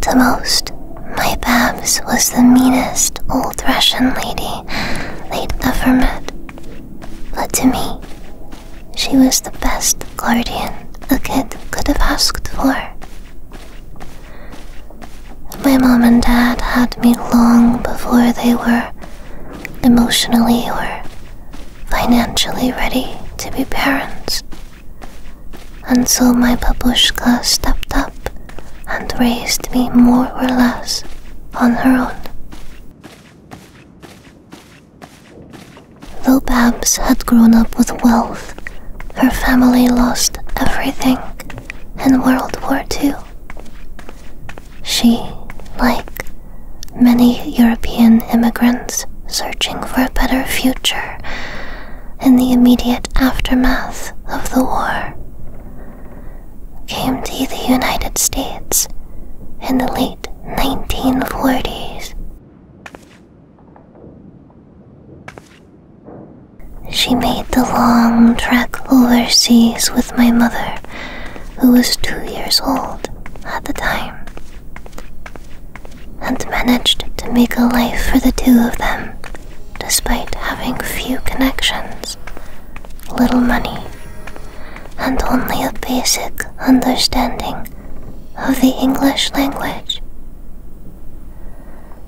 To most, my Babs was the meanest old Russian lady they'd ever met. But to me, she was the best guardian a kid could have asked for. My mom and dad had me long before they were emotionally or financially ready to be parents until my babushka stepped up and raised me more or less on her own. Though Babs had grown up with wealth, her family lost everything in World War II. She, like many European immigrants searching for a better future, in the immediate aftermath of the war came to the United States in the late 1940s. She made the long trek overseas with my mother, who was two years old at the time and managed to make a life for the two of them, despite having few connections, little money, and only a basic understanding of the English language.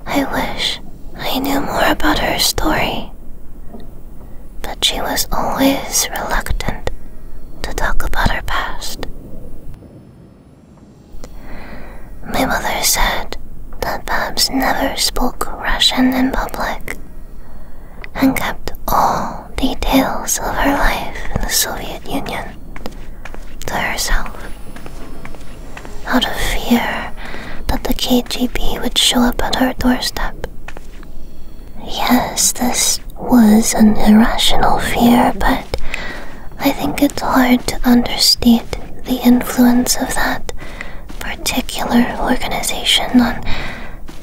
I wish I knew more about her story, but she was always reluctant to talk about her past. My mother said that Babs never spoke Russian in public and kept all details of her life in the Soviet Union to herself out of fear that the KGB would show up at her doorstep. Yes, this was an irrational fear, but I think it's hard to understate the influence of that particular organization on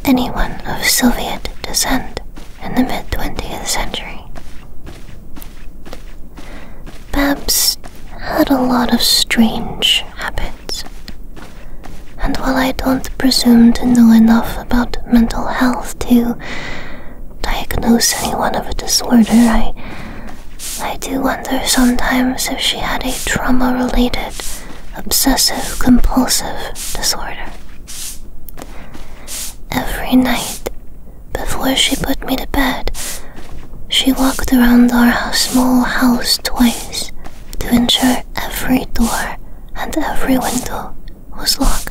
anyone of Soviet descent in the mid 20th century. Babs had a lot of strange habits, and while I don't presume to know enough about mental health to diagnose anyone of a disorder. I, I do wonder sometimes if she had a trauma-related, obsessive-compulsive disorder. Every night, before she put me to bed, she walked around our small house twice to ensure every door and every window was locked.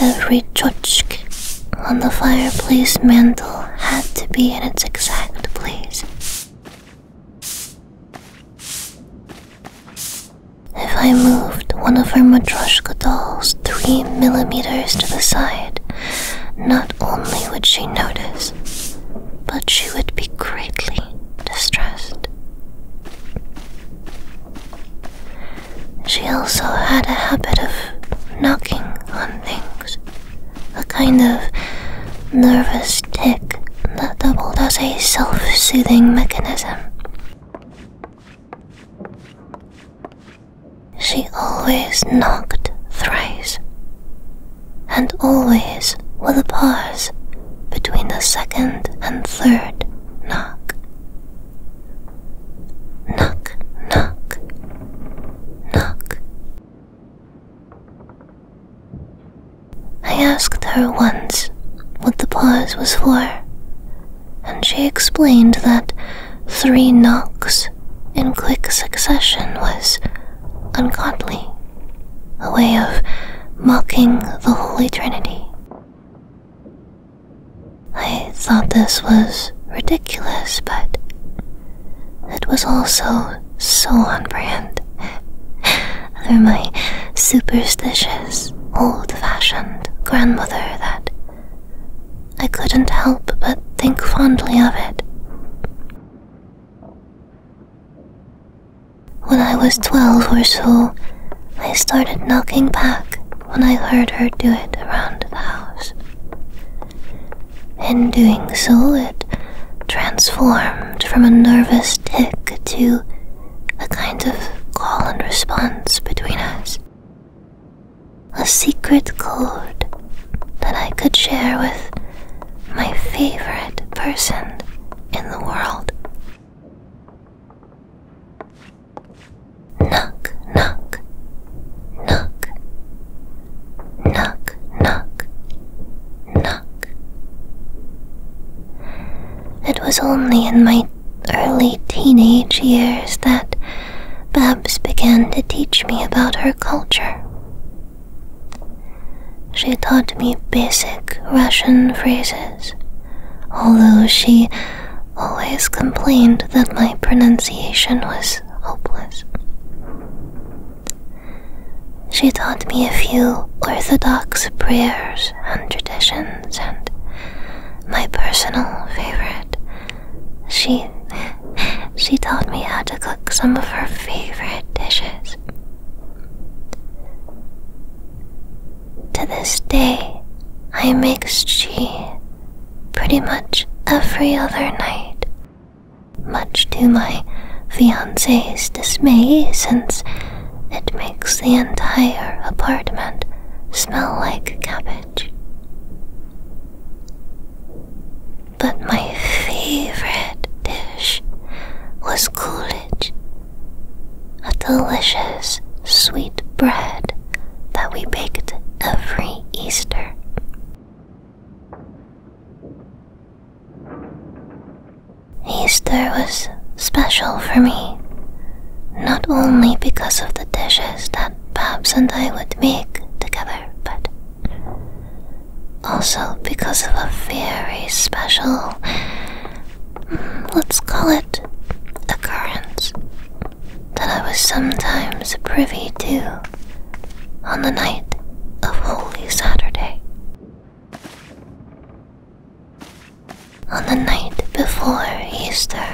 Every tchotchk on the fireplace mantel had to be in its exact place. If I moved one of her Matryoshka dolls three millimeters to the side, not only would she notice, but she would be greatly distressed. She also had a habit of knocking on things, a kind of nervous tick that doubled as a self soothing mechanism. She always knocked thrice, and always with a pause between the second and third knock. Knock, knock, knock. I asked her once what the pause was for, and she explained that three knocks in quick succession was ungodly, a way of mocking the Holy Trinity. I thought this was ridiculous, but it was also so on brand. For my superstitious, old fashioned grandmother that I couldn't help but think fondly of it. When I was twelve or so, I started knocking back when I heard her do it around the house. and doing so, it transformed from a nervous tick to a kind of call and response between us. A secret code that I could share with my favorite person in the world. Knock, knock, knock, knock, knock, knock. It was only in my early teenage years that Babs began to teach me about her culture. She taught me basic Russian phrases, although she always complained that my pronunciation was hopeless. She taught me a few orthodox prayers and traditions, and my personal favorite, she she taught me how to cook some of her favorite dishes. To this day, I make tea pretty much every other night, much to my fiance's dismay, since it makes the entire apartment smell like cabbage. But my favorite dish was Coolidge a delicious sweet bread that we baked every Easter. Easter was special for me, not only because of the dishes that Babs and I would make together, but also because of a very special, mm, let's call it occurrence that I was sometimes privy to on the night of Holy Saturday. On the night before Easter,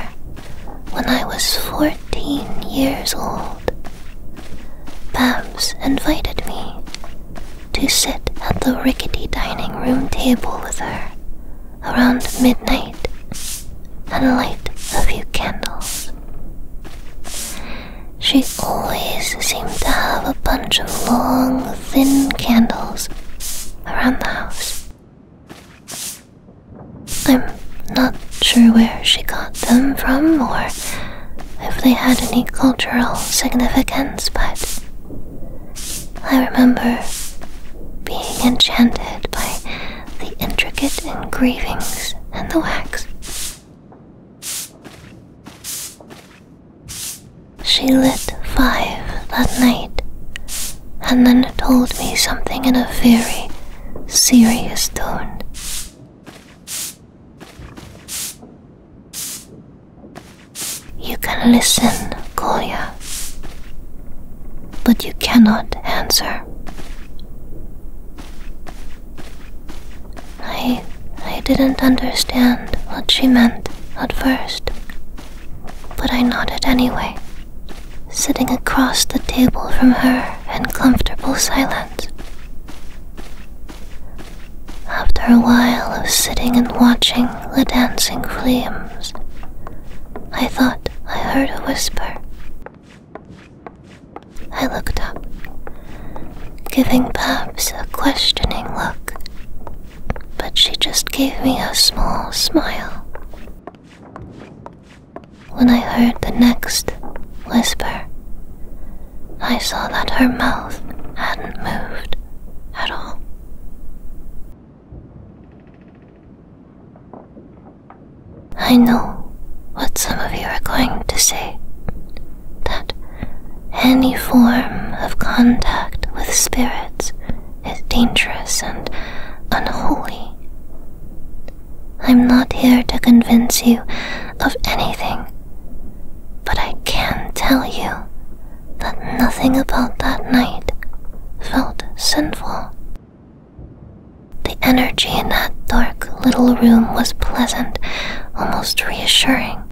when I was fourteen years old, Babs invited me to sit at the rickety dining room table with her around midnight and light a few candles. She always seemed to have a bunch of long, thin candles around the house. I'm not sure where she got them from or if they had any cultural significance, but I remember being enchanted by the intricate engravings and the wax. She lit five that night and then told me something in a very serious tone. You can listen, Kolya, but you cannot answer. I I didn't understand what she meant at first, but I nodded anyway, sitting across the table from her in comfortable silence. After a while I was sitting and watching the dancing flame I thought I heard a whisper. I looked up, giving Babs a questioning look, but she just gave me a small smile. When I heard the next whisper, I saw that her mouth hadn't moved at all. I know what some of you are going to say that any form of contact with spirits is dangerous and unholy. I'm not here to convince you of anything, but I can tell you that nothing about that night felt sinful. The energy in that dark little room was pleasant, almost reassuring.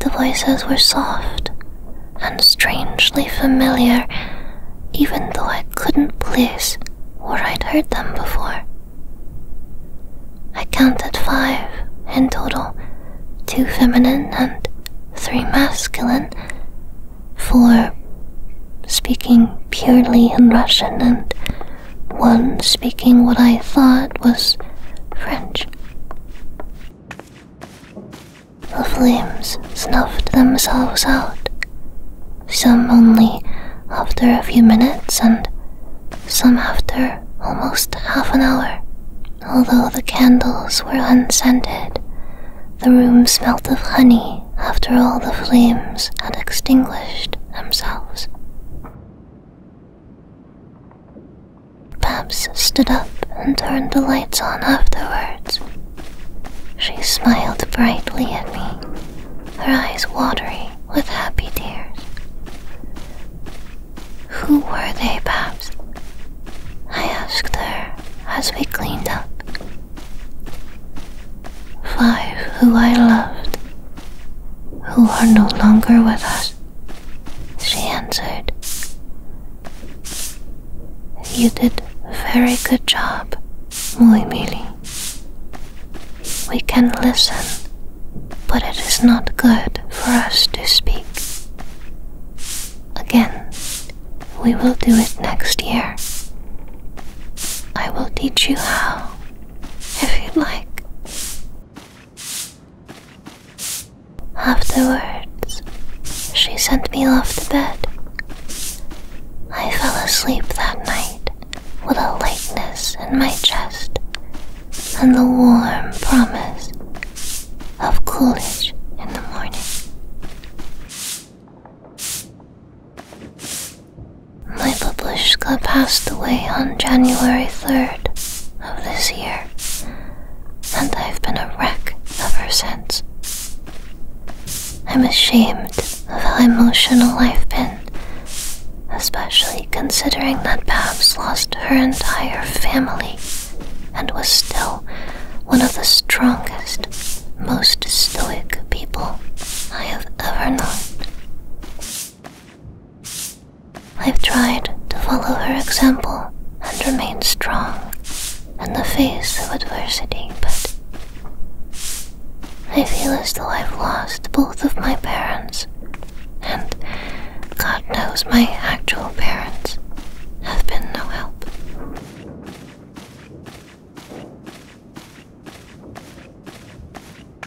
The voices were soft and strangely familiar, even though I couldn't place where I'd heard them before. I counted five in total two feminine and three masculine four speaking purely in Russian and one speaking what I thought was French. The flames snuffed themselves out, some only after a few minutes and some after almost half an hour. Although the candles were unscented, the room smelt of honey after all the flames had extinguished themselves. Babs stood up and turned the lights on afterwards. She smiled brightly at me, her eyes watery with happy tears. Who were they, Paps? I asked her as we cleaned up. Five who I loved, who are no longer with us, she answered. You did a very good job, Muimili. We can listen, but it is not good for us to speak. Again, we will do it next year. I will teach you how, if you like. Afterwards, she sent me off to bed. I fell asleep that night with a lightness in my chest and the warm promise of Coolidge in the morning. My babushka passed away on January 3rd of this year, and I've been a wreck ever since. I'm ashamed of how emotional I've been, especially considering that Babs lost her entire family and was still one of the strongest, most stoic people I have ever known. I've tried to follow her example and remain strong in the face of adversity, but I feel as though I've lost both of my parents and God knows my actual parents have been no help.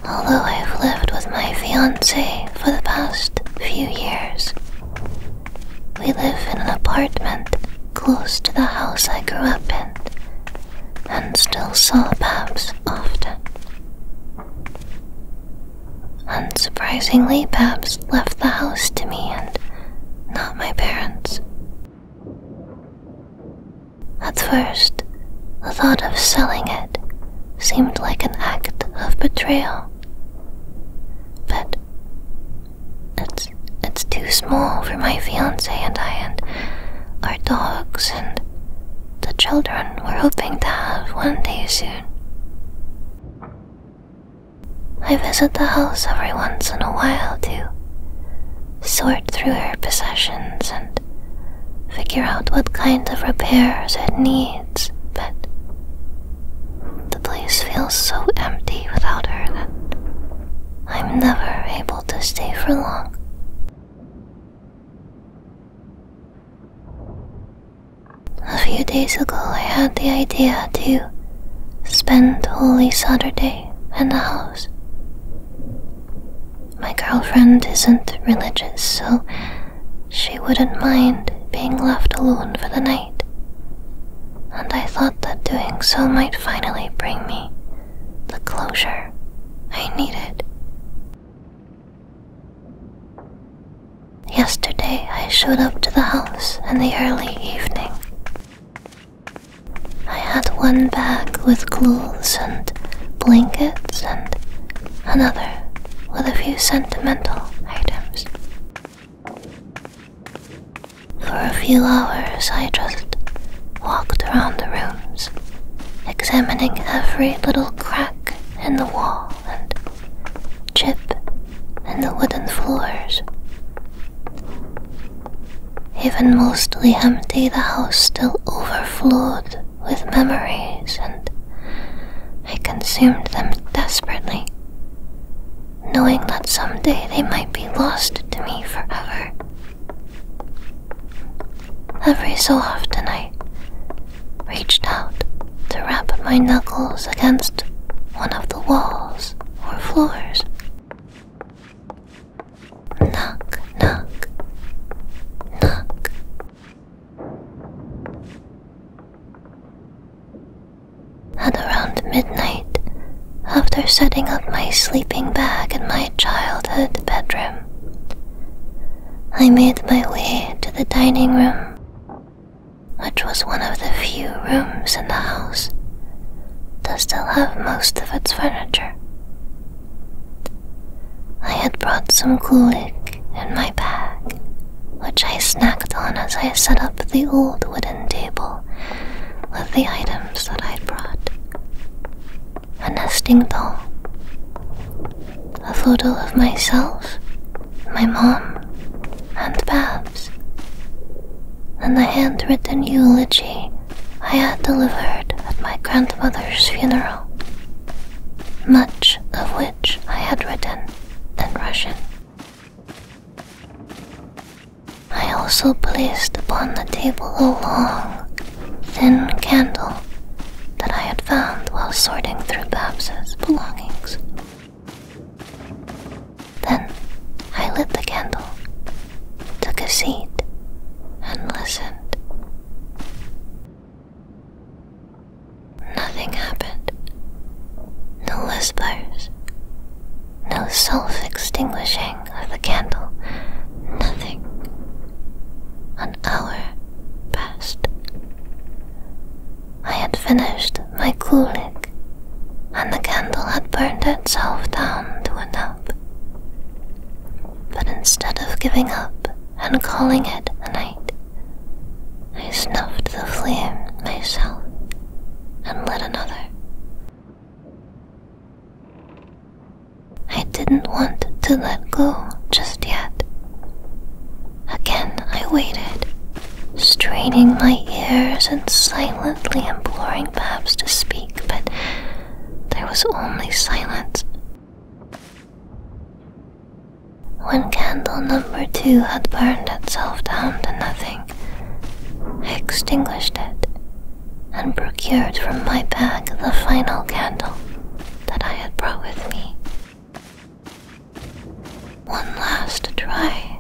Although I've lived with my fiance for the past few years, we live in an apartment close to the house I grew up in and still saw Babs often. Unsurprisingly, Babs left the house to me and not my parents. At first, the thought of selling it seemed like an act of betrayal. But it's it's too small for my fiance and I and our dogs and the children we're hoping to have one day soon. I visit the house every once in a while to sort through her possessions and figure out what kind of repairs it needs, but the place feels so empty without her that I'm never able to stay for long. A few days ago, I had the idea to spend Holy Saturday in the house. My girlfriend isn't religious, so she wouldn't mind being left alone for the night. And I thought that doing so might finally bring me the closure I needed. Yesterday I showed up to the house in the early evening. I had one bag with clothes and blankets, and another with a few sentimental items. For a few hours, I just walked around the rooms, examining every little crack in the wall and chip, and the wooden floors. Even mostly empty, the house still overflowed with memories, and I consumed them desperately, knowing that someday they might be lost to me forever. Every so often, I reached out to rap my knuckles against one of the walls or floors. Knock, knock, knock. At around midnight, after setting up my sleeping bag in my childhood bedroom, I made my way to the dining room which was one of the few rooms in the house to still have most of its furniture. I had brought some kulik in my bag, which I snacked on as I set up the old wooden table with the items that I'd brought. A nesting doll, a photo of myself my mom, and Babs, and the handwritten eulogy I had delivered at my grandmother's funeral, much of which I had written in Russian. I also placed upon the table a long, thin candle that I had found while sorting through Babs's belongings. Then I lit the candle, took a seat, and listened. Nothing happened. No whispers. No self extinguishing of the candle. Nothing. An hour passed. I had finished my kulik, and the candle had burned itself down to a nub. But instead of giving up and calling it a night, I snuffed the flame myself and lit another. I didn't want to let go just yet. Again I waited, straining my ears and silently imploring Babs to speak, but there was only silence. When candle number two had burned itself down to nothing, I extinguished it and procured from my bag the final candle that I had brought with me. One last try,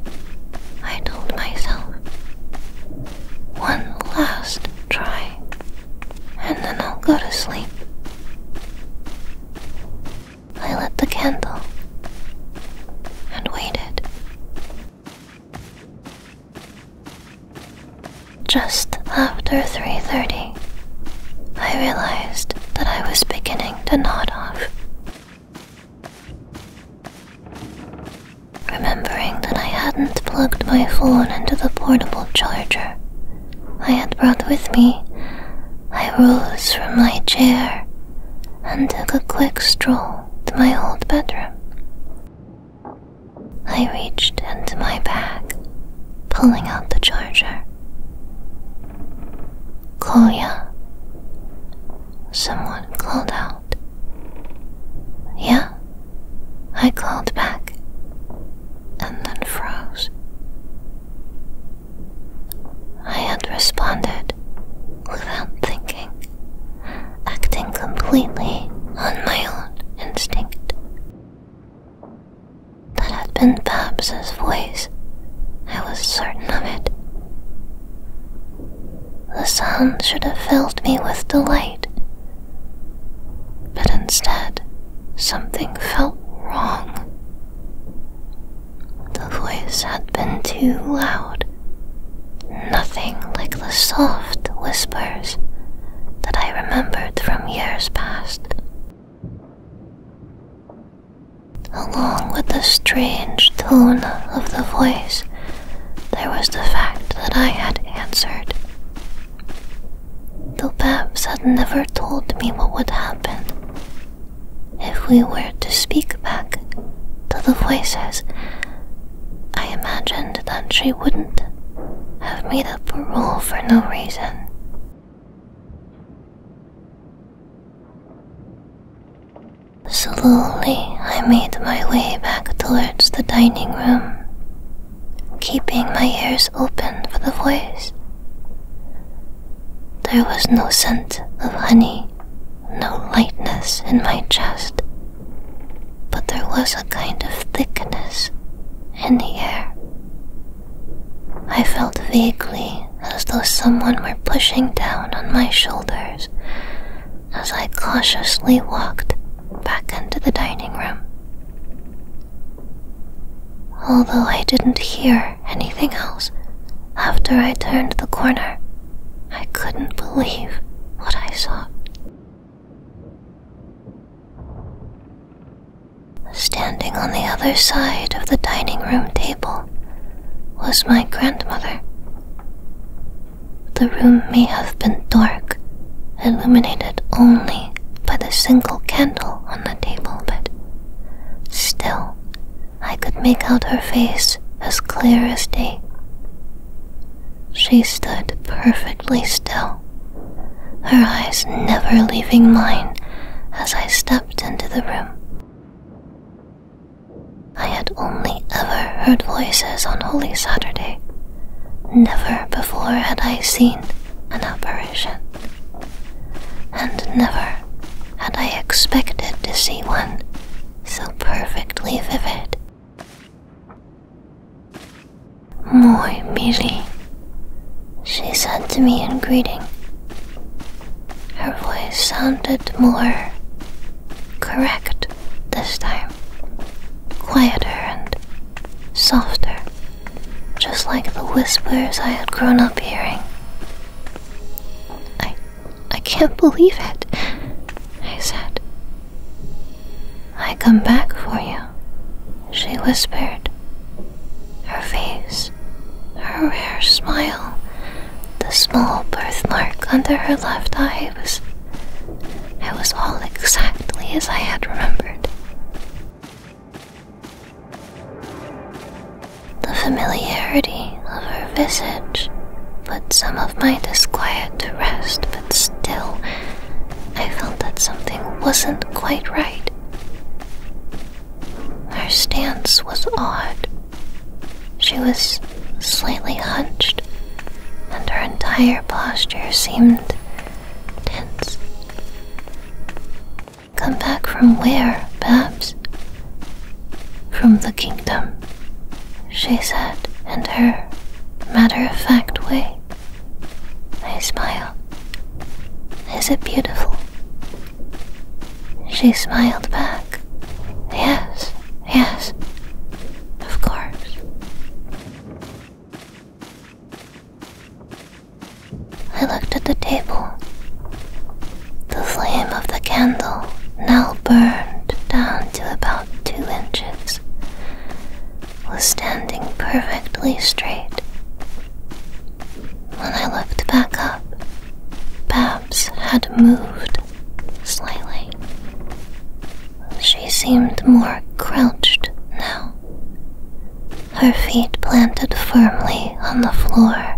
I told myself. One last try, and then I'll go to sleep. I lit the candle and waited. Just after 3:30, I realized that I was beginning to nod off. Remembering that I hadn't plugged my phone into the portable charger I had brought with me, I rose from my chair and took a quick stroll to my old bedroom. I reached into my bag, pulling out the charger. Claudia? Someone called out. Yeah? I called back and then froze. I had responded without thinking, acting completely on my own instinct. That had been Babs's voice. I was certain of it. The sound should have filled me with delight, but instead, something felt wrong. The voice had been too loud, nothing like the soft whispers that I remembered from years past. Along with the strange tone of the voice, there was the fact that I had answered. Though Babs had never told me what would happen. If we were to speak back to the voices, I imagined that she wouldn't have made up a rule for no reason. Slowly, I made my way back towards the dining room, keeping my ears open for the voice. There was no scent of honey, no lightness in my chest, but there was a kind of thickness in the air I felt vaguely as though someone were pushing down on my shoulders as I cautiously walked back into the dining room. Although I didn't hear anything else after I turned the corner, I couldn't believe what I saw. Standing on the other side of the dining room table was my grandmother. The room may have been dark, illuminated only by the single candle on the table, but still I could make out her face as clear as day. She stood perfectly still, her eyes never leaving mine as I stepped into the room. I had only ever heard voices on Holy Saturday. Never before had I seen an apparition, and never had I expected to see one so perfectly vivid. Muy miri she said to me in greeting. Her voice sounded more correct this time, quieter and softer, just like the whispers I had grown up hearing. I, I can't believe it, I said. I come back for you, she whispered, her face, her rare smile. The small birthmark under her left eye was. It was all exactly as I had remembered. The familiarity of her visage put some of my disquiet to rest, but still, I felt that something wasn't quite right. Her stance was odd. She was slightly hunched, and her entire posture seemed tense. Come back from where, Babs? From the kingdom, she said in her matter of fact way. I smiled. Is it beautiful? She smiled back. Yes, yes, of course. I looked at the table. The flame of the candle now burned down to about two inches, was standing perfectly straight. When I looked back up, Babs had moved slightly. She seemed more crouched now, her feet planted firmly on the floor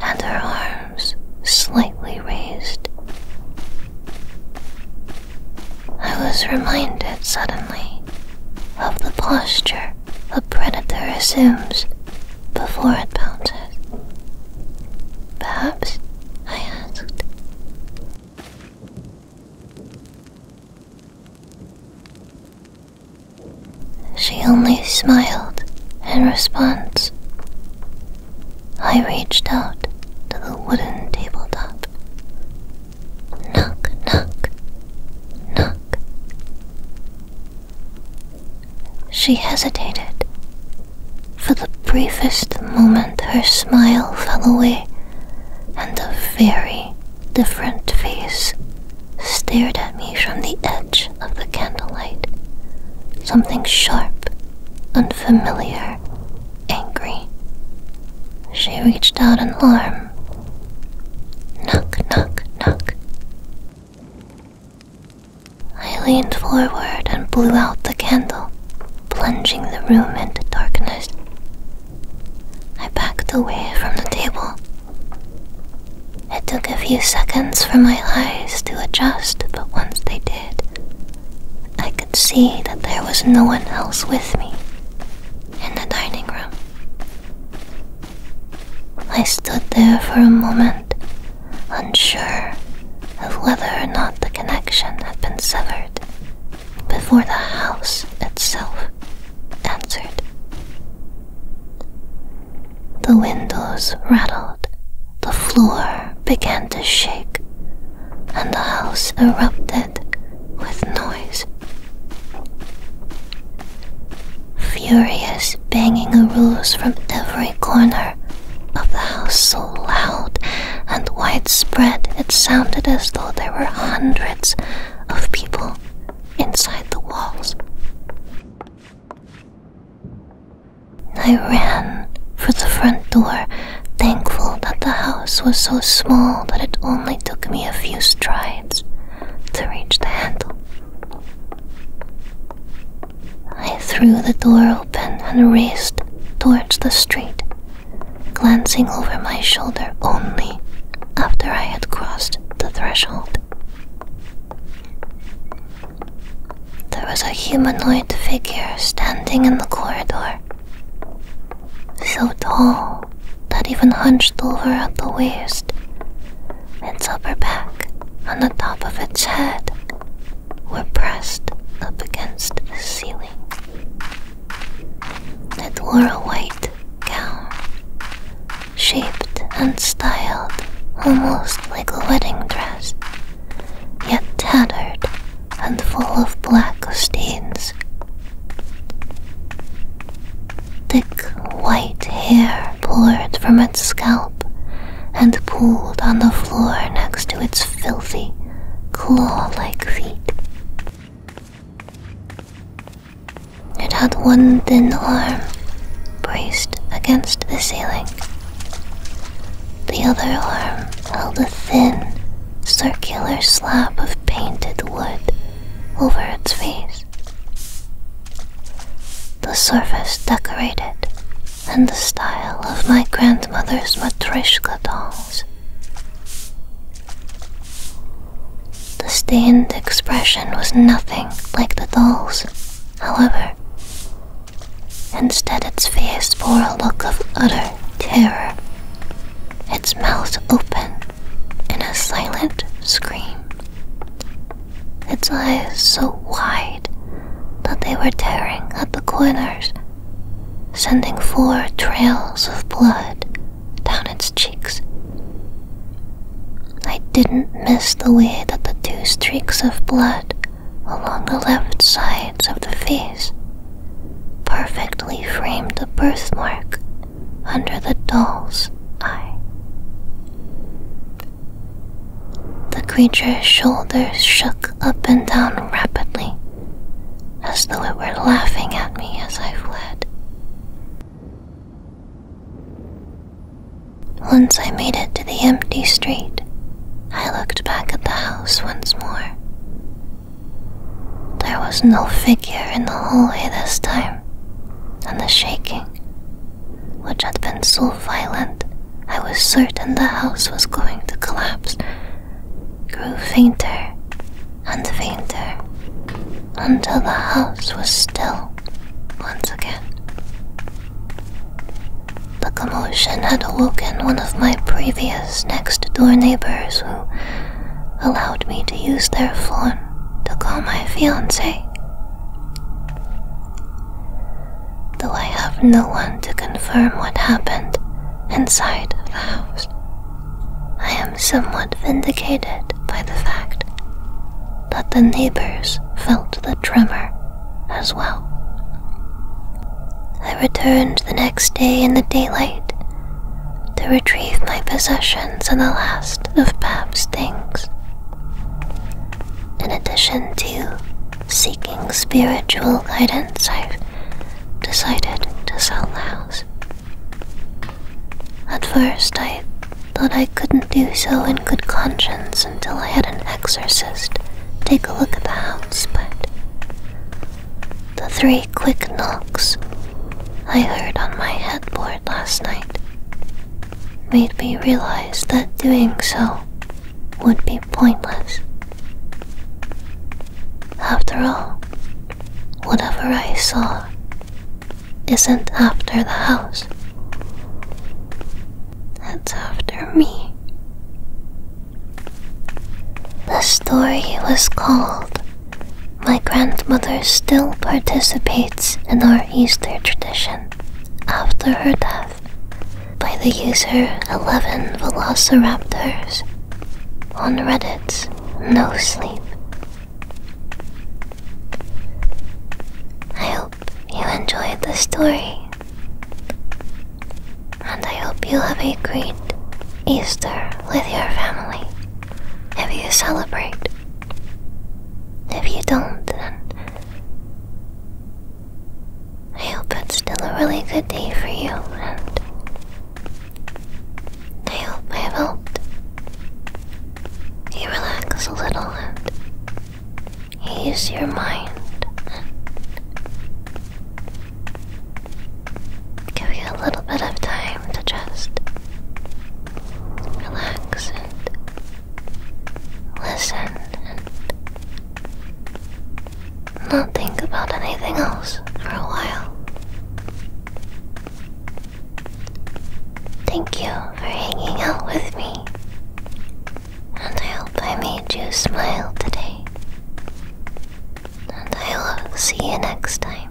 and her arms slightly raised. I was reminded suddenly of the posture a predator assumes before it pounces. Perhaps? I asked. She only smiled in response. I reached out to the wooden tabletop. Knock, knock, knock. She hesitated. For the briefest moment, her smile fell away, and a very different face stared at me from the edge of the candlelight. Something sharp, unfamiliar, angry. She reached out an arm Knock, knock, knock. I leaned forward and blew out the candle, plunging the room into darkness. I backed away from the table. It took a few seconds for my eyes to adjust, but once they did, I could see that there was no one else with me in the dining room. I stood there for a moment, unsure of whether or not the connection had been severed, before the house itself answered. The windows rattled, the floor began to shake, and the house erupted with noise. Furious banging arose from every corner of the house so loud and widespread it sounded as though there were hundreds of people inside the walls. I ran for the front door, thankful that the house was so small that it only took me a few strides to reach the handle. I threw the door open and raced towards the street, glancing over my shoulder only after I had crossed the threshold. There was a humanoid figure standing in the corridor, so tall that even hunched over at the waist, its upper back and the top of its head were pressed up against the ceiling. It wore a white gown, shaped and styled almost like a wedding dress, yet tattered and full of black stains. Thick white hair poured from its scalp and pooled on the floor next to its filthy, claw like feet. It had one thin arm braced against the ceiling. The other arm held a thin, circular slab of painted wood over its face. The surface decorated in the style of my grandmother's matryoshka dolls. The stained expression was nothing like the dolls, however. Instead, its face bore a look of utter terror its mouth open in a silent scream, its eyes so wide that they were tearing at the corners, sending four trails of blood down its cheeks. I didn't miss the way that the two streaks of blood along the left sides of the face perfectly framed the birthmark under the doll's eye. The creature's shoulders shook up and down rapidly, as though it were laughing at me as I fled. Once I made it to the empty street, I looked back at the house once more. There was no figure in the hallway this time and the shaking, which had been so violent I was certain the house was going to collapse, grew fainter and fainter until the house was still once again. The commotion had awoken one of my previous next door neighbors who allowed me to use their phone to call my fiance. Though I have no one to confirm what happened inside the house, I am somewhat vindicated by the fact that the neighbors felt the tremor as well. I returned the next day in the daylight to retrieve my possessions and the last of Bab's things. In addition to seeking spiritual guidance, I've decided to sell the house. At first, I thought I couldn't do so in good conscience until I had an exorcist take a look at the house, but the three quick knocks I heard on my headboard last night made me realize that doing so would be pointless. After all, whatever I saw isn't after the house, it's after me. The story was called my grandmother still participates in our Easter tradition after her death by the user 11 Velociraptors on Reddit's No Sleep. I hope you enjoyed the story, and I hope you have a great Easter with your family if you celebrate. If you don't, then. I hope it's still a really good day for you, and I hope I've helped you relax a little and ease your mind and give you a little bit of time to just relax and listen and not think about anything else for a while. Thank you for hanging out with me, and I hope I made you smile today. And I will see you next time.